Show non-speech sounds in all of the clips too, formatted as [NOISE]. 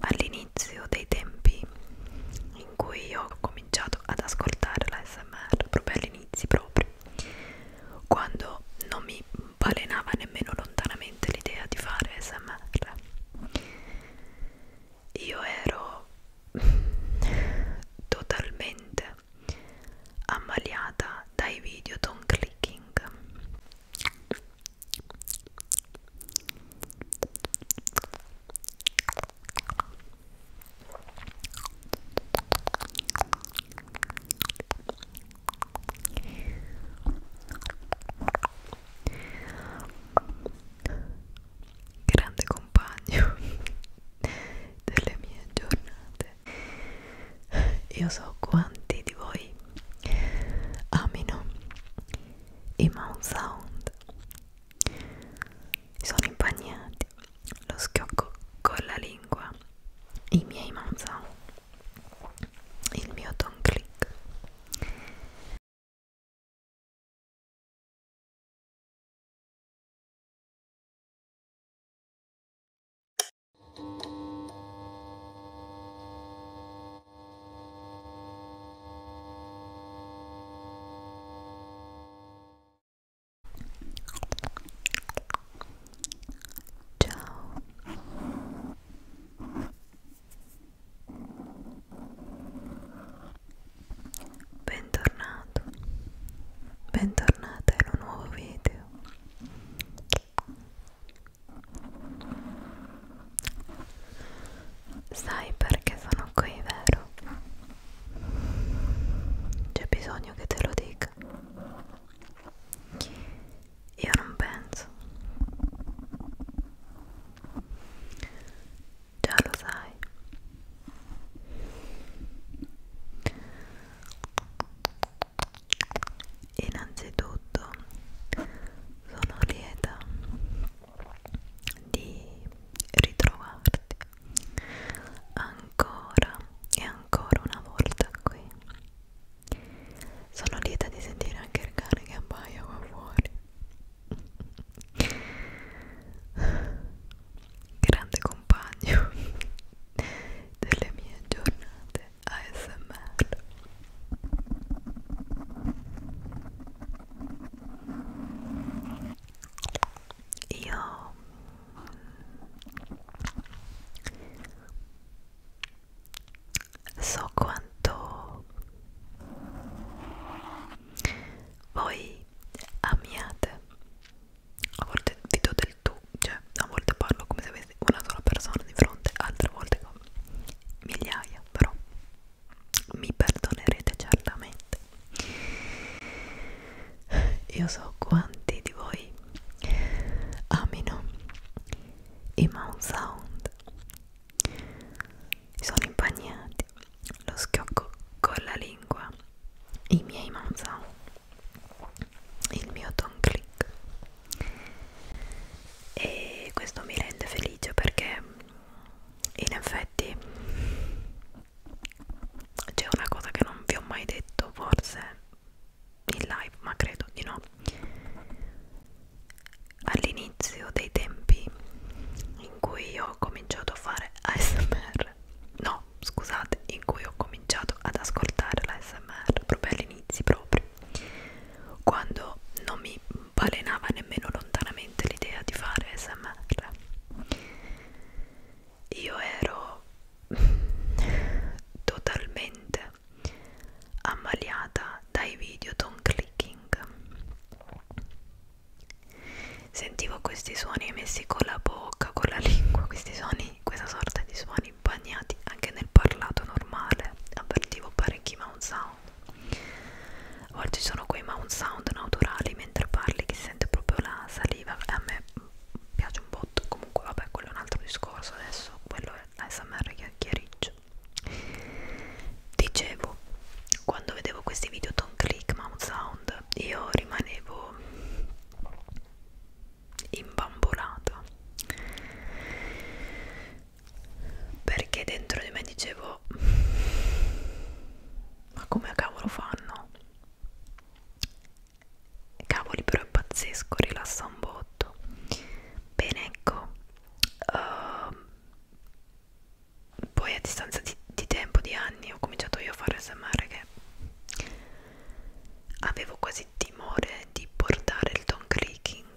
all'inizio dei tempi in cui ho cominciato ad ascoltare la SMR, proprio all'inizio proprio, quando non mi balenava nemmeno lontanamente l'idea di fare SMR, io ero [LAUGHS] totalmente ammaliata dai video don clicking grande compagno [LAUGHS] delle mie giornate io so quanti di voi amino i Mount Sound mi sono impagnati lo schiocco con la lingua i miei Mount Sound il mio Don Click Ciao. Bentornato. Bentornata in un nuovo video. Sai perché sono qui, vero? C'è bisogno che te lo dica. Io non penso. Già lo sai innanzitutto sono lieta di ritrovarti ancora e ancora una volta qui sono lieta di sentire anche il cane che abbaia qua fuori grande compagno delle mie giornate ASMR io mm, so quanto voi amiate. A volte vi do del tu, cioè a volte parlo come se avessi una sola persona di fronte, altre volte con migliaia però mi perdonerete certamente io so quanti di voi amino i Mount Sound sono impagnati lo schiocco con la lingua i miei Mount Sound il mio ton click e questo mi rende felice perché in effetti c'è una cosa che non vi ho mai detto forse in live ma credo di no all'inizio dei tempi in cui ho cominciato a fare ASMR no scusate in cui ho cominciato ad ascoltare l'ASMR proprio all'inizio proprio quando non mi non balenava nemmeno lontanamente l'idea di fare smr io ero [LAUGHS] totalmente ammaliata dai video tone clicking sentivo questi suoni emessi con la bocca con la lingua questi suoni questa sorta di suoni bagnati anche nel parlato normale avvertivo parecchi mouth sound Oggi sono quei mount sound naturali mentre parli che si sente proprio la saliva. A me piace un botto, comunque vabbè, quello è un altro discorso adesso, quello è l'ASMR chiariccio. Dicevo, quando vedevo questi video Don't Click Mount Sound, io rimanevo imbambolata perché dentro di me dicevo ma come cavolo fanno cavoli però è pazzesco rilassa un botto bene ecco uh, poi a distanza di, di tempo di anni ho cominciato io a fare smr che avevo quasi timore di portare il don clicking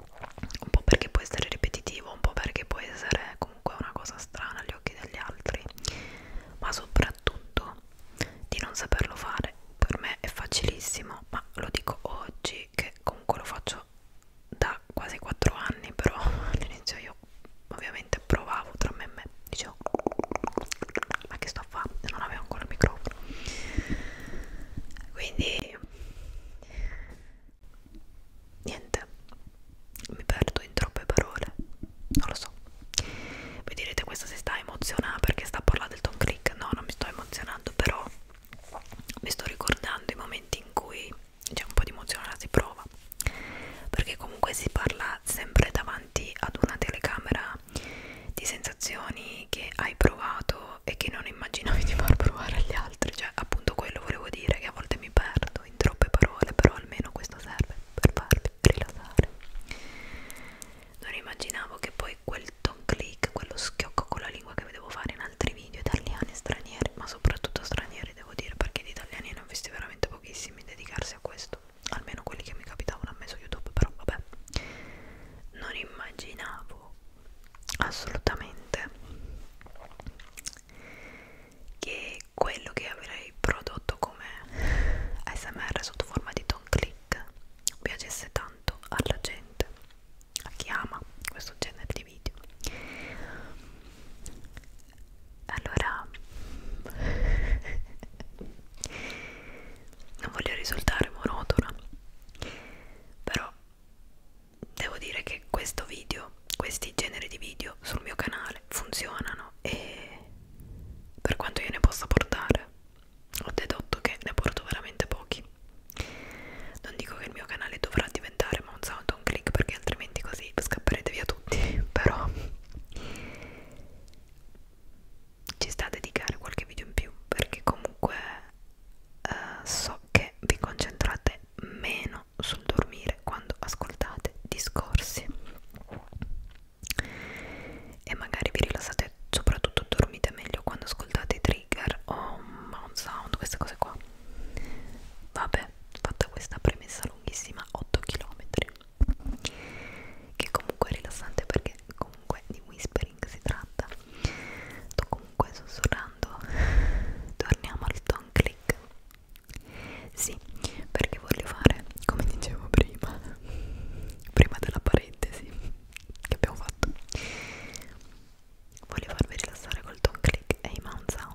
un po' perché può essere ripetitivo, un po' perché può essere comunque una cosa strana agli occhi degli altri, ma soprattutto di non saperlo fare. Per me è facilissimo, ma lo dico oggi che comunque lo faccio da quasi 4 anni, però [LAUGHS] all'inizio io ovviamente provavo tra me e me, dicevo ma che sto a fare? Non avevo ancora il microfono. Quindi niente mi perdo in troppe parole non lo so voi direte questa si sta emozionando perché sta parlando del Tom Click no non mi sto emozionando però mi sto ricordando i momenti in cui c'è un po' di emozione la si prova perché comunque si parla sempre davanti ad una telecamera di sensazioni che hai provato e che non immaginavi di far provare agli altri, cioè appunto quello volevo dire che a volte mi perdo in troppe parole, però almeno questo serve per farvi rilassare. Non immaginavo che poi quel ton click, quello schiocco con la lingua che vedevo fare in altri video italiani e stranieri, ma soprattutto stranieri devo dire, perché di italiani ne ho visti veramente pochissimi dedicarsi a questo, almeno quelli che mi capitavano a me su YouTube, però vabbè. Non immaginavo assolutamente che quello che avrei prodotto come ASMR sotto forma di don click piacesse tanto alla gente, a chi ama questo genere di video. Allora, [LAUGHS] non voglio risultare monotona, però devo dire che questo video, questi generi di video sul mio canale funzionano e per quanto io ne possa portare ho dedotto che ne porto veramente pochi. Non dico che il mio canale dovrà diventare Mount Sound on Click perché altrimenti così scapperete via tutti, [LAUGHS] però ci sta a dedicare qualche video in più perché comunque eh, so che vi concentrate meno sul dormire quando ascoltate discorsi e magari vi rilassate soprattutto dormite meglio quando ascoltate i trigger o mount sound queste cose qua vabbè fatta questa premessa lunghissima 8 km che comunque è rilassante perché comunque di whispering si tratta sto comunque sussurrando [LAUGHS] torniamo al ton click sì perché voglio fare come dicevo prima [LAUGHS] prima della parentesi che abbiamo fatto voglio farvi rilassare col ton click e i mount sound